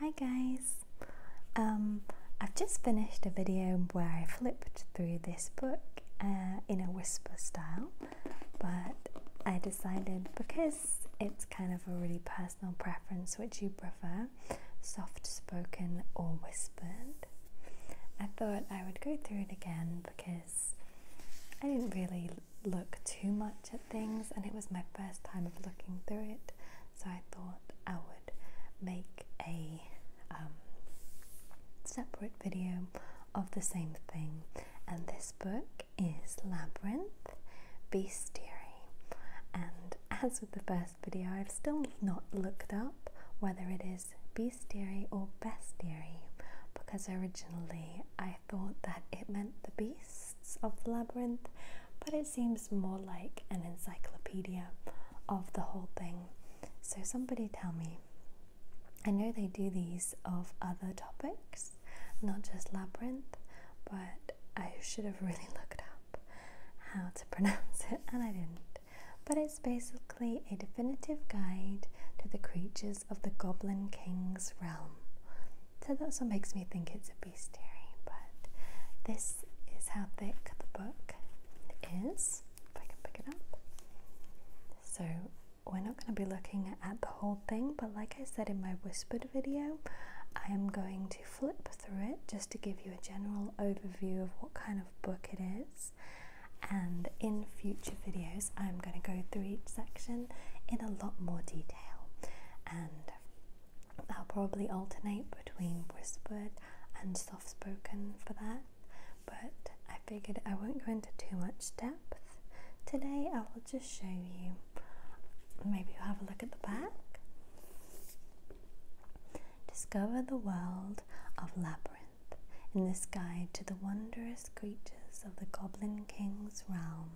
Hi guys! Um, I've just finished a video where I flipped through this book uh, in a whisper style but I decided because it's kind of a really personal preference which you prefer, soft spoken or whispered, I thought I would go through it again because I didn't really look too much at things, and it was my first time of looking through it, so I thought I would make a um, separate video of the same thing. And this book is Labyrinth Bestiary. And as with the first video, I've still not looked up whether it is bestiary or bestiary because originally I thought that it meant the beasts of the labyrinth but it seems more like an encyclopedia of the whole thing. So, somebody tell me. I know they do these of other topics, not just labyrinth, but I should have really looked up how to pronounce it and I didn't. But it's basically a definitive guide to the creatures of the Goblin King's realm. So that's what makes me think it's a bestiary, but this is how thick the book is. If I can pick it up. So we're not going to be looking at the whole thing, but like I said in my whispered video, I am going to flip through it just to give you a general overview of what kind of book it is. And in future videos, I'm going to go through each section in a lot more detail. And I'll probably alternate between whispered and soft spoken for that, but I figured I won't go into too much depth. Today I will just show you, maybe you'll have a look at the back. Discover the world of Labyrinth in this guide to the wondrous creatures of the Goblin King's realm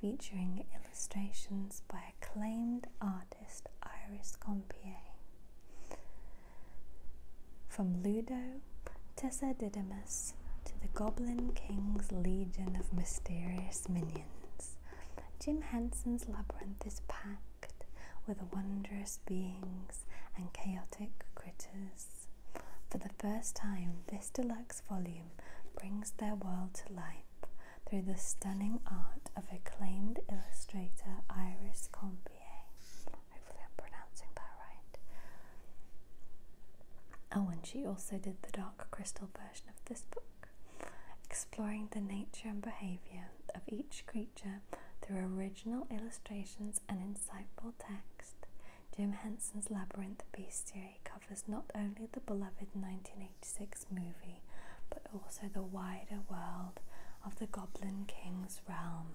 featuring illustrations by acclaimed artist Iris Compier. From Ludo, Tessa Didymus, to the Goblin King's legion of mysterious minions, Jim Henson's labyrinth is packed with wondrous beings and chaotic critters. For the first time, this deluxe volume brings their world to life through the stunning art of acclaimed illustrator Iris Combier. Hopefully, I'm pronouncing that right. Oh, and she also did the dark crystal version of this book, exploring the nature and behaviour of each creature through original illustrations and insightful text. Jim Henson's Labyrinth Bestiary today covers not only the beloved 1986 movie but also the wider world of the Goblin King's realm,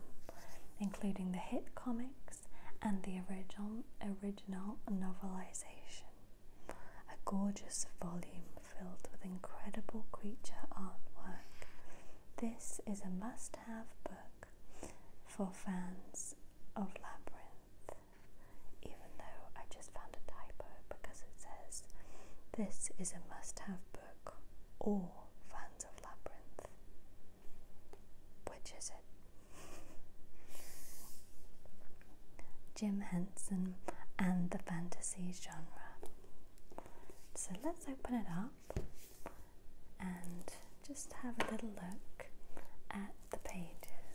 including the hit comics and the original, original novelization. A gorgeous volume filled with incredible creature artwork. This is a must have book for fans of Labyrinth even though I just found a typo because it says this is a must have book or fans of Labyrinth. Which is it? Jim Henson and the fantasy genre. So let's open it up and just have a little look at the pages.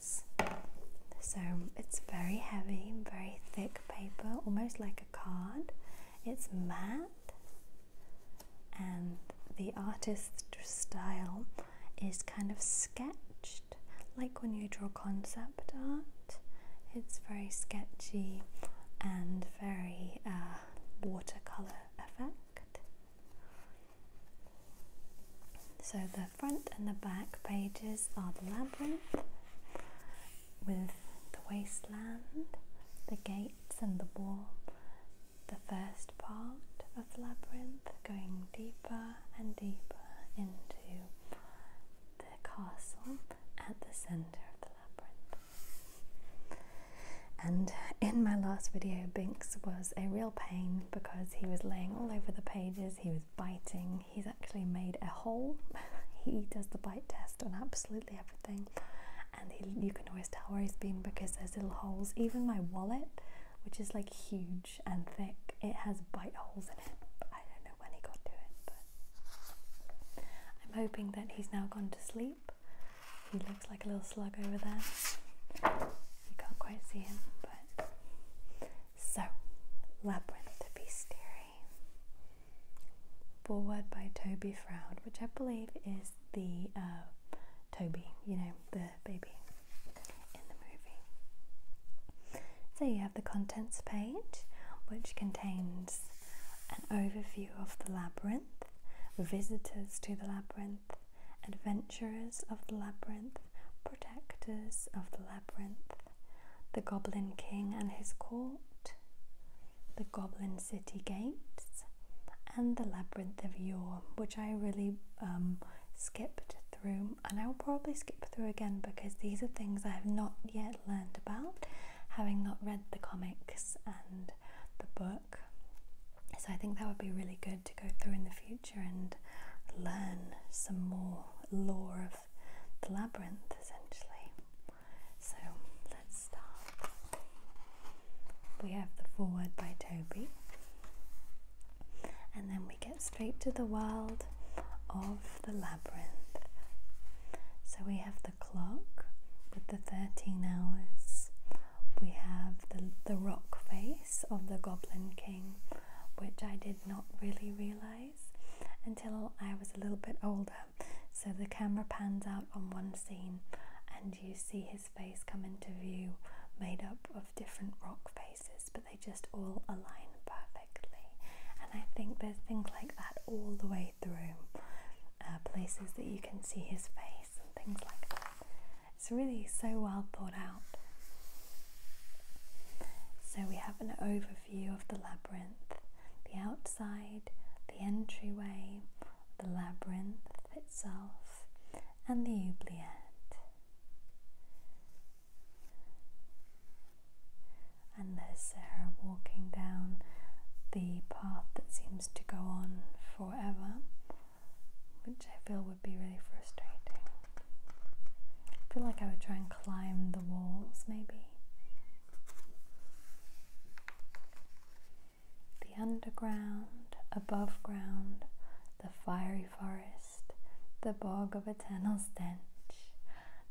So it's very heavy, very thick paper, almost like a card. It's matte, and the artist's style is kind of sketched, like when you draw concept art. It's very sketchy and very uh, watercolor effect. So the front and the back pages are the labyrinth with the wasteland, the gates and the wall, the first part of the labyrinth going deeper and deeper into the castle at the centre of the labyrinth. And in my last video, Binks was a real pain because he was laying all over the pages, he was biting. He's actually made a hole. he does the bite test on absolutely everything, and you can always tell where he's been because there's little holes. Even my wallet, which is like huge and thick, it has bite holes in it. I don't know when he got to it, but I'm hoping that he's now gone to sleep. He looks like a little slug over there. You can't quite see him, but so, Labyrinth Bestiary, forward by Toby Froud, which I believe is the uh, Toby, you know, the baby in the movie. So you have the contents page, which contains an overview of the labyrinth, visitors to the labyrinth, adventurers of the labyrinth, protectors of the labyrinth, the Goblin King and his court, the Goblin City gates, and the Labyrinth of Yore, which I really um, skipped through, and I'll probably skip through again because these are things I have not yet learned about, having not read the comics and the book. So I think that would be really good to go through in the future and learn some more lore of the labyrinth essentially. So let's start. We have the foreword by Toby, and then we get straight to the world of the labyrinth. So we have the clock with the 13 hours, we have the, the rock face of the Goblin King which I did not really realize until I was a little bit older. So the camera pans out on one scene and you see his face come into view made up of different rock faces, but they just all align perfectly. And I think there's things like that all the way through uh, places that you can see his face and things like that. It's really so well thought out. So we have an overview of the labyrinth, the outside, the entryway, the labyrinth itself, and the oubliette. And there's Sarah walking down the path that seems to go on forever which I feel would be really frustrating. I feel like I would try and climb the walls maybe. The underground, above ground, the fiery forest, the bog of eternal stench,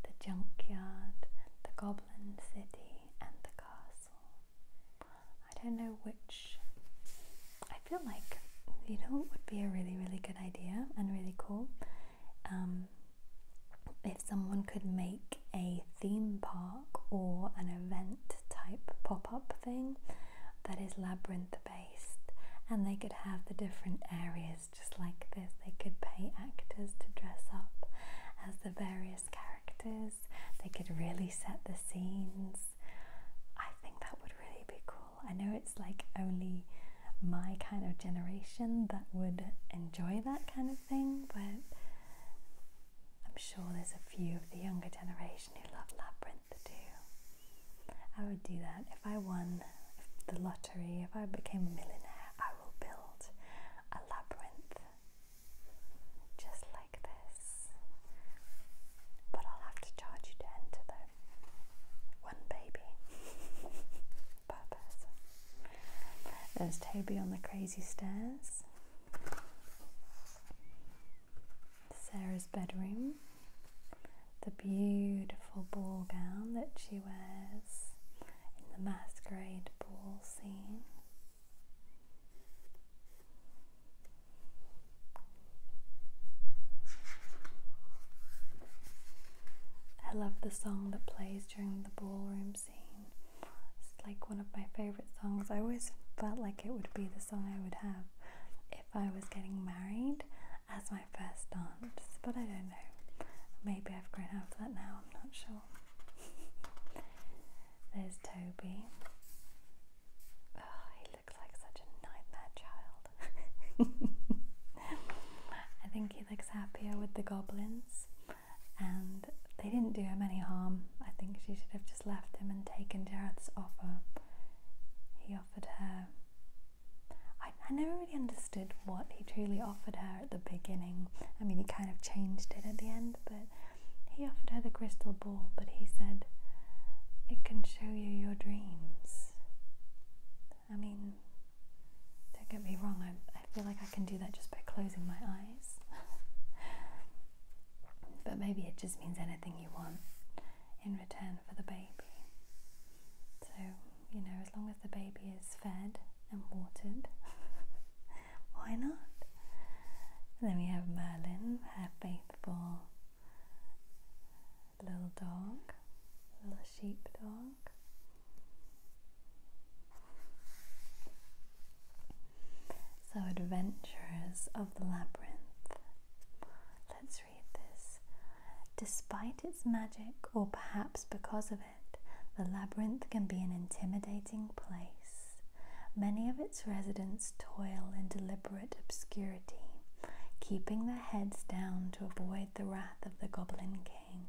the junkyard, the goblin city, and the castle. I don't know which I feel like you know it would be a really really good idea and really cool um, if someone could make a theme park or an event type pop-up thing that is labyrinth based and they could have the different areas just like this they could pay actors to dress up as the various characters they could really set the scenes i think that would really be cool I know it's like only my kind of generation that would enjoy that kind of thing, but I'm sure there's a few of the younger generation who love Labyrinth too. I would do that if I won the lottery, if I became a millionaire, I will build a labyrinth just like this. But I'll have to charge you to enter though one baby per There's Toby on the crazy stairs. Sarah's bedroom. The beautiful ball gown that she wears in the masquerade ball scene. I love the song that plays during the ballroom scene. It's like one of my favourite songs. I always felt like it would be the song I would have if I was getting married as my first dance, but I don't know. Maybe I've grown out of that now, I'm not sure. There's Toby. Oh, he looks like such a nightmare child. I think he looks happier with the goblins, and they didn't do him any harm. I think she should have just left him and taken Jareth's offer. He offered her. I never really understood what he truly offered her at the beginning. I mean, he kind of changed it at the end, but he offered her the crystal ball, but he said, It can show you your dreams. I mean, don't get me wrong, I, I feel like I can do that just by closing my eyes. but maybe it just means anything you want in return for the baby. So, you know, as long as the baby is fed and watered, why not? And then we have Merlin, her faithful little dog, little sheep dog. So, adventurers of the Labyrinth. Let's read this. Despite its magic, or perhaps because of it, the labyrinth can be an intimidating place. Many of its residents toil in deliberate obscurity, keeping their heads down to avoid the wrath of the Goblin King.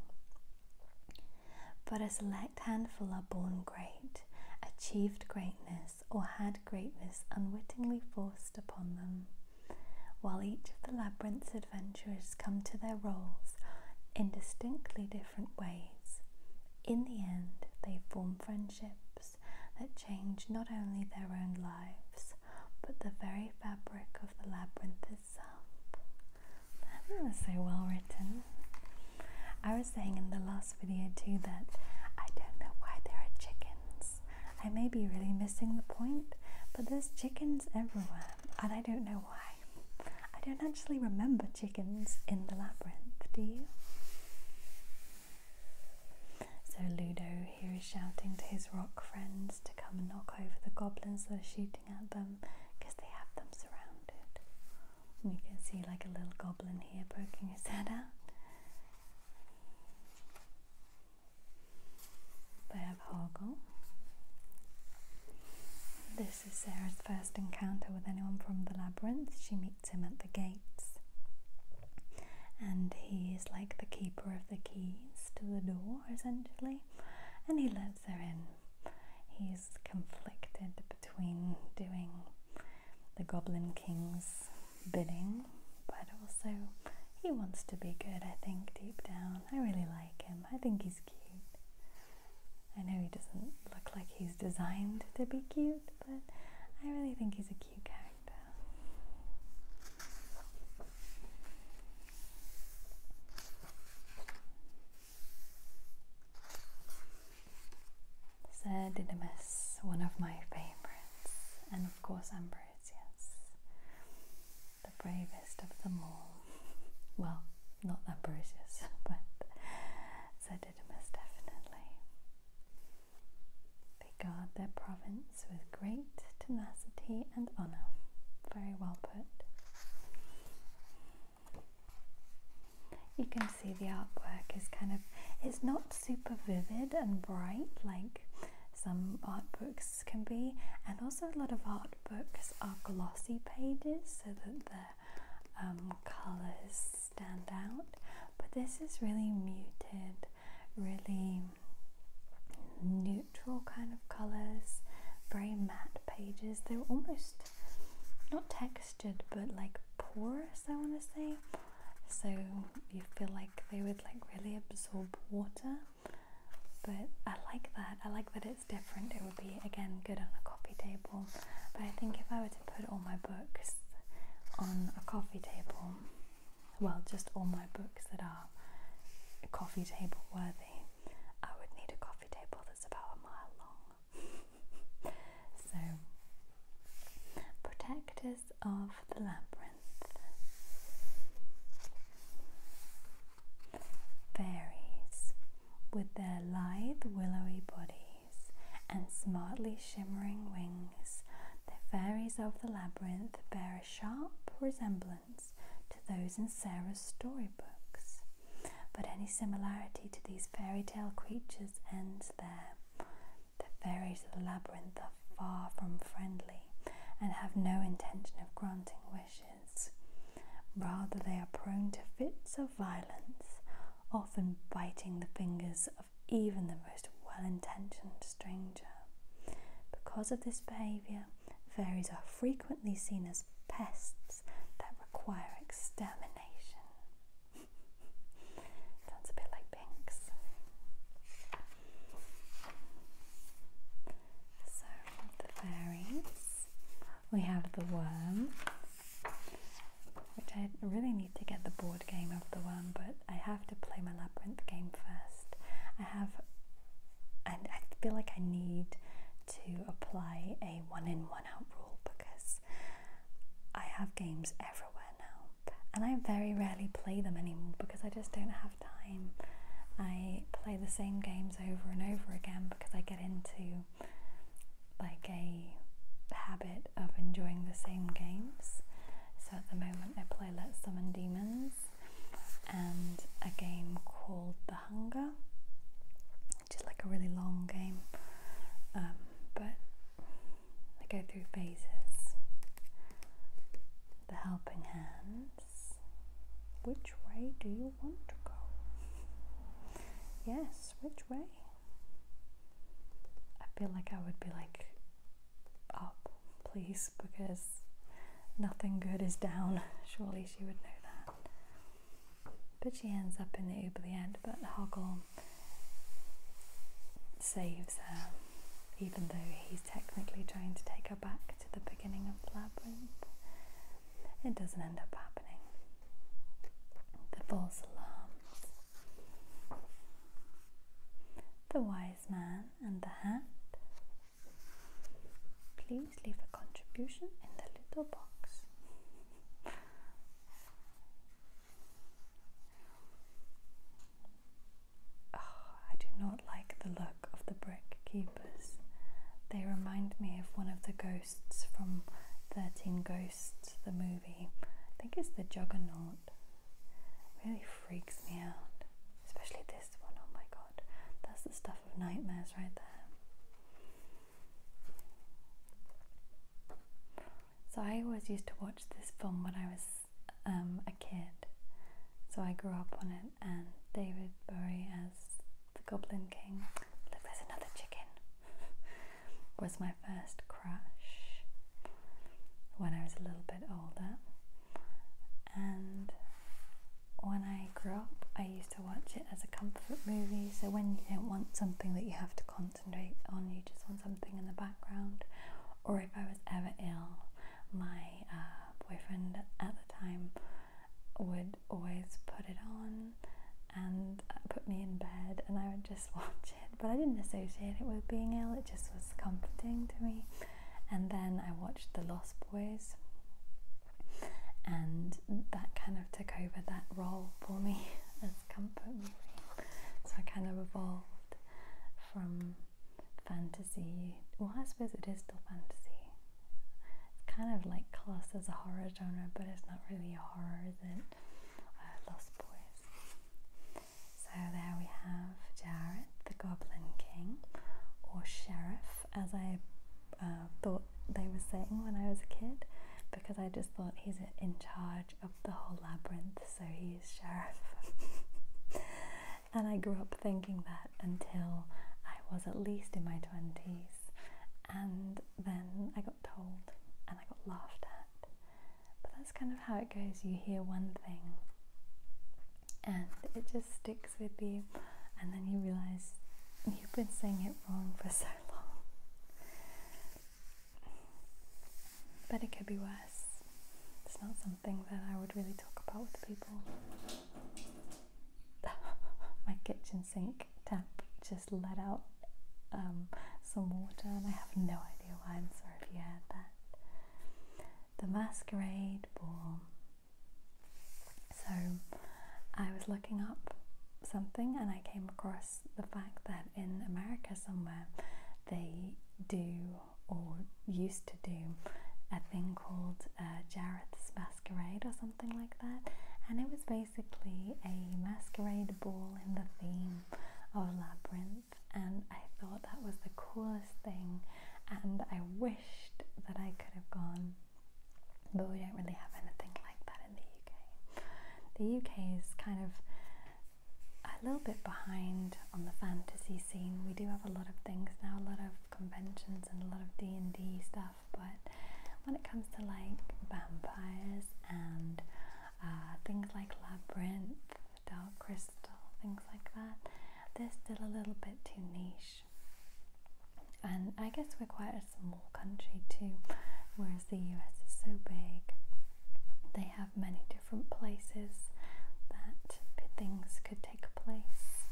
But a select handful are born great, achieved greatness, or had greatness unwittingly forced upon them. While each of the labyrinth's adventurers come to their roles in distinctly different ways, in the end they form friendships that change not only their own lives, but the very fabric of the labyrinth itself. I think so well written. I was saying in the last video too that I don't know why there are chickens. I may be really missing the point, but there's chickens everywhere, and I don't know why. I don't actually remember chickens in the labyrinth, do you? So Ludo here is shouting to his rock friends to come and knock over the goblins that are shooting at them because they have them surrounded. you can see like a little goblin here poking his head out. They have Hoggle. This is Sarah's first encounter with anyone from the labyrinth. She meets him at the gates, and he is like the keeper keeper of the keys to the door, essentially, and he lets her in. He's conflicted between doing the Goblin King's bidding, but also he wants to be good, I think, deep down. I really like him, I think he's cute. I know he doesn't look like he's designed to be cute, but I really think he's a cute cute Didymus, one of my favourites, and of course Ambrosius, the bravest of them all. Well, not Ambrosius, but Sir Didymus definitely. They guard their province with great tenacity and honour. Very well put. You can see the artwork is kind of, it's not super vivid and bright like some art books can be, and also a lot of art books are glossy pages so that the um, colours stand out. But this is really muted, really neutral kind of colors, very matte pages. They are almost not textured but like porous, I want to say. So you feel like they would like really absorb water. But I like that. I like that it's different. It would be again good on a coffee table. But I think if I were to put all my books on a coffee table, well, just all my books that are coffee table worthy, I would need a coffee table that's about a mile long. so, Protectors of the Labyrinth. Fairies, with their lithe willowy bodies and smartly shimmering wings, the fairies of the labyrinth bear a sharp resemblance to those in Sarah's storybooks, but any similarity to these fairy tale creatures ends there. The fairies of the labyrinth are far from friendly and have no intention of granting wishes. Rather, they are prone to fits of violence, often biting the fingers of even the most well intentioned stranger. Because of this behaviour, fairies are frequently seen as pests that require extermination. Sounds a bit like pinks. So, the fairies, we have the worm. Which I really need to get the board game of the worm, but I have to play my labyrinth game first. I have, and I feel like I need to apply a one in one out rule because I have games everywhere now, and I very rarely play them anymore because I just don't have time. I play the same games over and over again because I get into like a habit of enjoying the same games. So at the moment, I play Let's Summon Demons and a game called The Hunger, just like a really long game, um, but I go through phases. The Helping Hands. Which way do you want to go? yes, which way? I feel like I would be like up, please, because nothing good is down. Surely she would know that. But she ends up in the End. but Hoggle saves her, even though he's technically trying to take her back to the beginning of the labyrinth. It doesn't end up happening. The false alarms, the wire man and the hand. Please leave a contribution in the little box. Oh, I do not like the look of the brick keepers. They remind me of one of the ghosts from 13 Ghosts, the movie. I think it's the Juggernaut. Really freaks me out. Especially this one, oh my god. That's the stuff of nightmares right there. So I always used to watch this film when I was um, a kid. So I grew up on it and David Bowie as the Goblin King. Look, there's another chicken. was my first crush when I was a little bit older. And when I grew up, I used to watch it as a comfort movie. So when you don't want something that you have to concentrate on, you just want something in the background. Or if I was ever ill, my uh, boyfriend at the time would always put it on and uh, put me in bed, and I would just watch it but I didn't associate it with being ill, it just was comforting to me. And then I watched The Lost Boys, and that kind of took over that role for me as comfort movie. So I kind of evolved from fantasy. Well, I suppose it is still fantasy. It's kind of like classed as a horror genre, but it's not really a horror, is uh, Lost Boys. So there we have Jared, the Goblin King, or Sheriff, as I uh, thought they were saying when I was a kid, because I just thought he's in charge of the whole labyrinth, so he's Sheriff. and I grew up thinking that until I was at least in my 20s, and then I got told and I got laughed at. But that's kind of how it goes. You hear one thing and it just sticks with you, and then you realize you've been saying it wrong for so long. But it could be worse. It's not something that I would really talk about with people. My kitchen sink tap just let out um, some water, and I have no idea why. I'm sorry if you heard that the masquerade ball. So I was looking up something and I came across the fact that in America somewhere they do or used to do a thing called uh, Masquerade or something like that, and it was basically a masquerade ball in the theme of Labyrinth and I thought that was the coolest thing. And I wished that I could have gone, but we don't really have anything like that in the UK. The UK is kind of a little bit behind on the fantasy scene. We do have a lot of things now, a lot of conventions and a lot of D and D stuff, but when it comes to like vampires and uh, things like labyrinth dark crystal, things like that. This are still a little bit too niche. And I guess we're quite a small country too, whereas the US is so big. They have many different places that things could take place,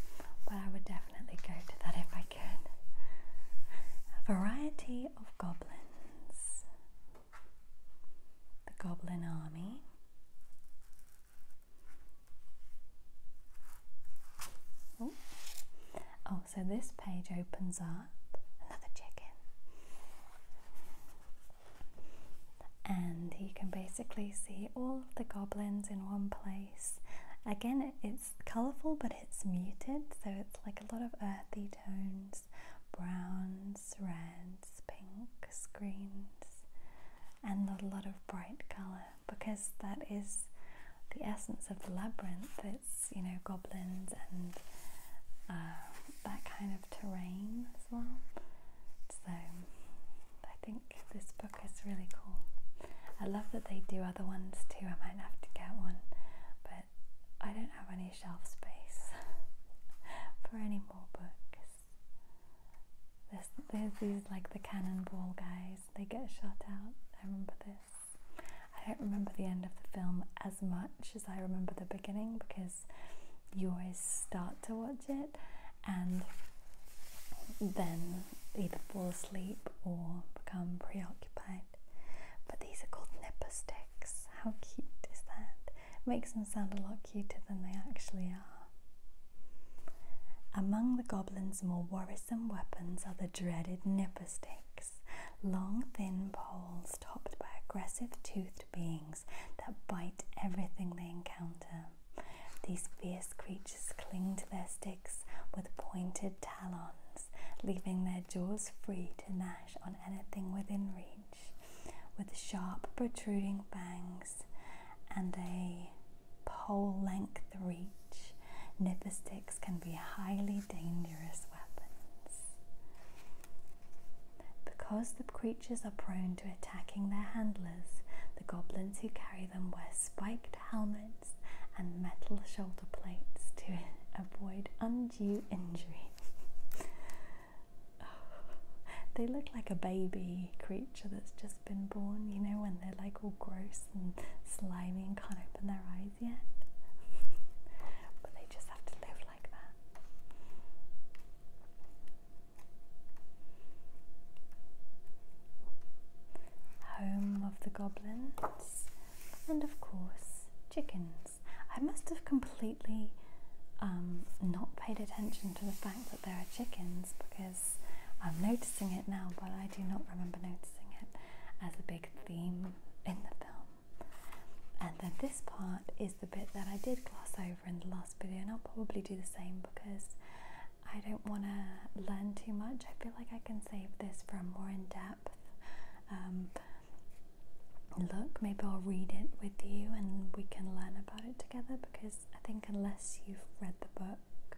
but I would definitely go to that if I could. A variety of goblins the Goblin Army. Oh, so this page opens up another chicken, and you can basically see all of the goblins in one place. Again, it's colourful but it's muted, so it's like a lot of earthy tones, browns, reds, pinks, greens, and a lot of bright colour because that is the essence of the labyrinth. It's, you know, goblins and um, that kind of terrain as well. So I think this book is really cool. I love that they do other ones too. I might have to get one, but I don't have any shelf space for any more books. There's, there's these like the cannonball guys, they get shot out. I remember this. I don't remember the end of the film as much as I remember the beginning because you always start to watch it and then either fall asleep or become preoccupied. But these are called nipper sticks. How cute is that? makes them sound a lot cuter than they actually are. Among the goblins' more worrisome weapons are the dreaded nipper sticks, long thin poles topped by aggressive toothed beings that bite everything they encounter. These fierce creatures cling to their sticks with pointed talons, leaving their jaws free to gnash on anything within reach with sharp protruding fangs and a pole length reach. Nipper sticks can be highly dangerous weapons. Because the creatures are prone to attacking their handlers, the goblins who carry them wear spiked helmets and metal shoulder plates to avoid undue injury. they look like a baby creature that's just been born, you know, when they're like all gross and slimy and can't open their eyes yet. but they just have to live like that. Home of the goblins, and of course, chickens. I must have completely um, not paid attention to the fact that there are chickens because I'm noticing it now, but I do not remember noticing it as a big theme in the film. And then this part is the bit that I did gloss over in the last video, and I'll probably do the same because I don't want to learn too much. I feel like I can save this for a more in depth um, look, maybe I'll read it with you and we can learn about it together because I think unless you've read the book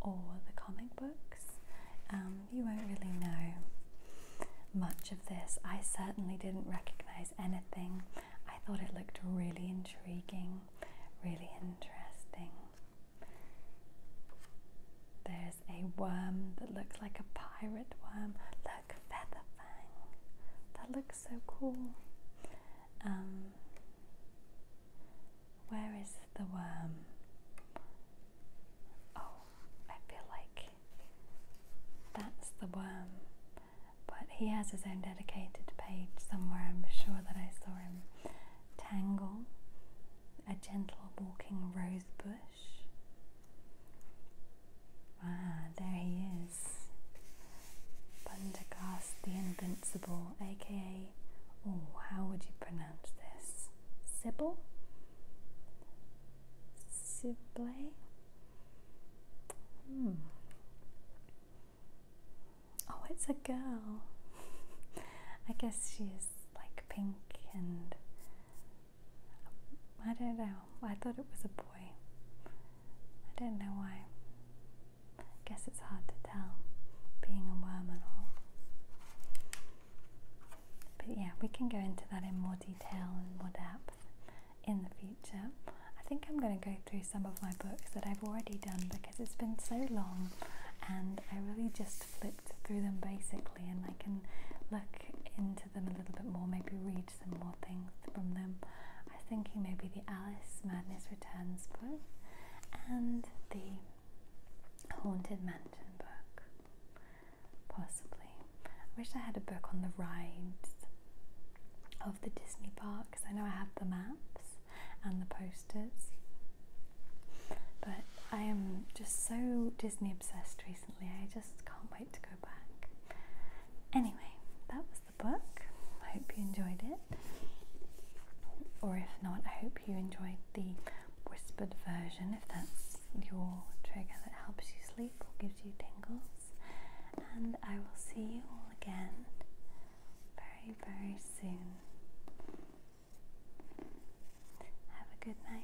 or the comic books, um, you won't really know much of this. I certainly didn't recognize anything. I thought it looked really intriguing, really interesting. There's a worm that looks like a pirate worm. Featherfang. That looks so cool. Um, where is the worm? Oh, I feel like that's the worm. But he has his own dedicated page somewhere, I'm sure that I saw him. Tangle, a gentle walking rosebush. Ah, there he is is the Invincible, aka, oh, how would you pronounce this? Sibyl? Sibley? Hmm. Oh, it's a girl. I guess she is like pink and I don't know. I thought it was a boy. I don't know why. I guess it's hard to tell being a worm and all. But yeah, we can go into that in more detail and more depth in the future. I think I'm going to go through some of my books that I've already done because it's been so long and I really just flipped through them basically and I can look into them a little bit more, maybe read some more things from them. I am thinking maybe the Alice Madness Returns book and the Haunted Mansion book, possibly. I wish I had a book on the rides of the Disney parks. I know I have the maps and the posters, but I am just so Disney obsessed recently. I just can't wait to go back. Anyway, that was the book. I hope you enjoyed it. Or if not, I hope you enjoyed the whispered version if that's your trigger that helps you sleep or gives you tingles. And I will see you all again very, very soon. Have a good night.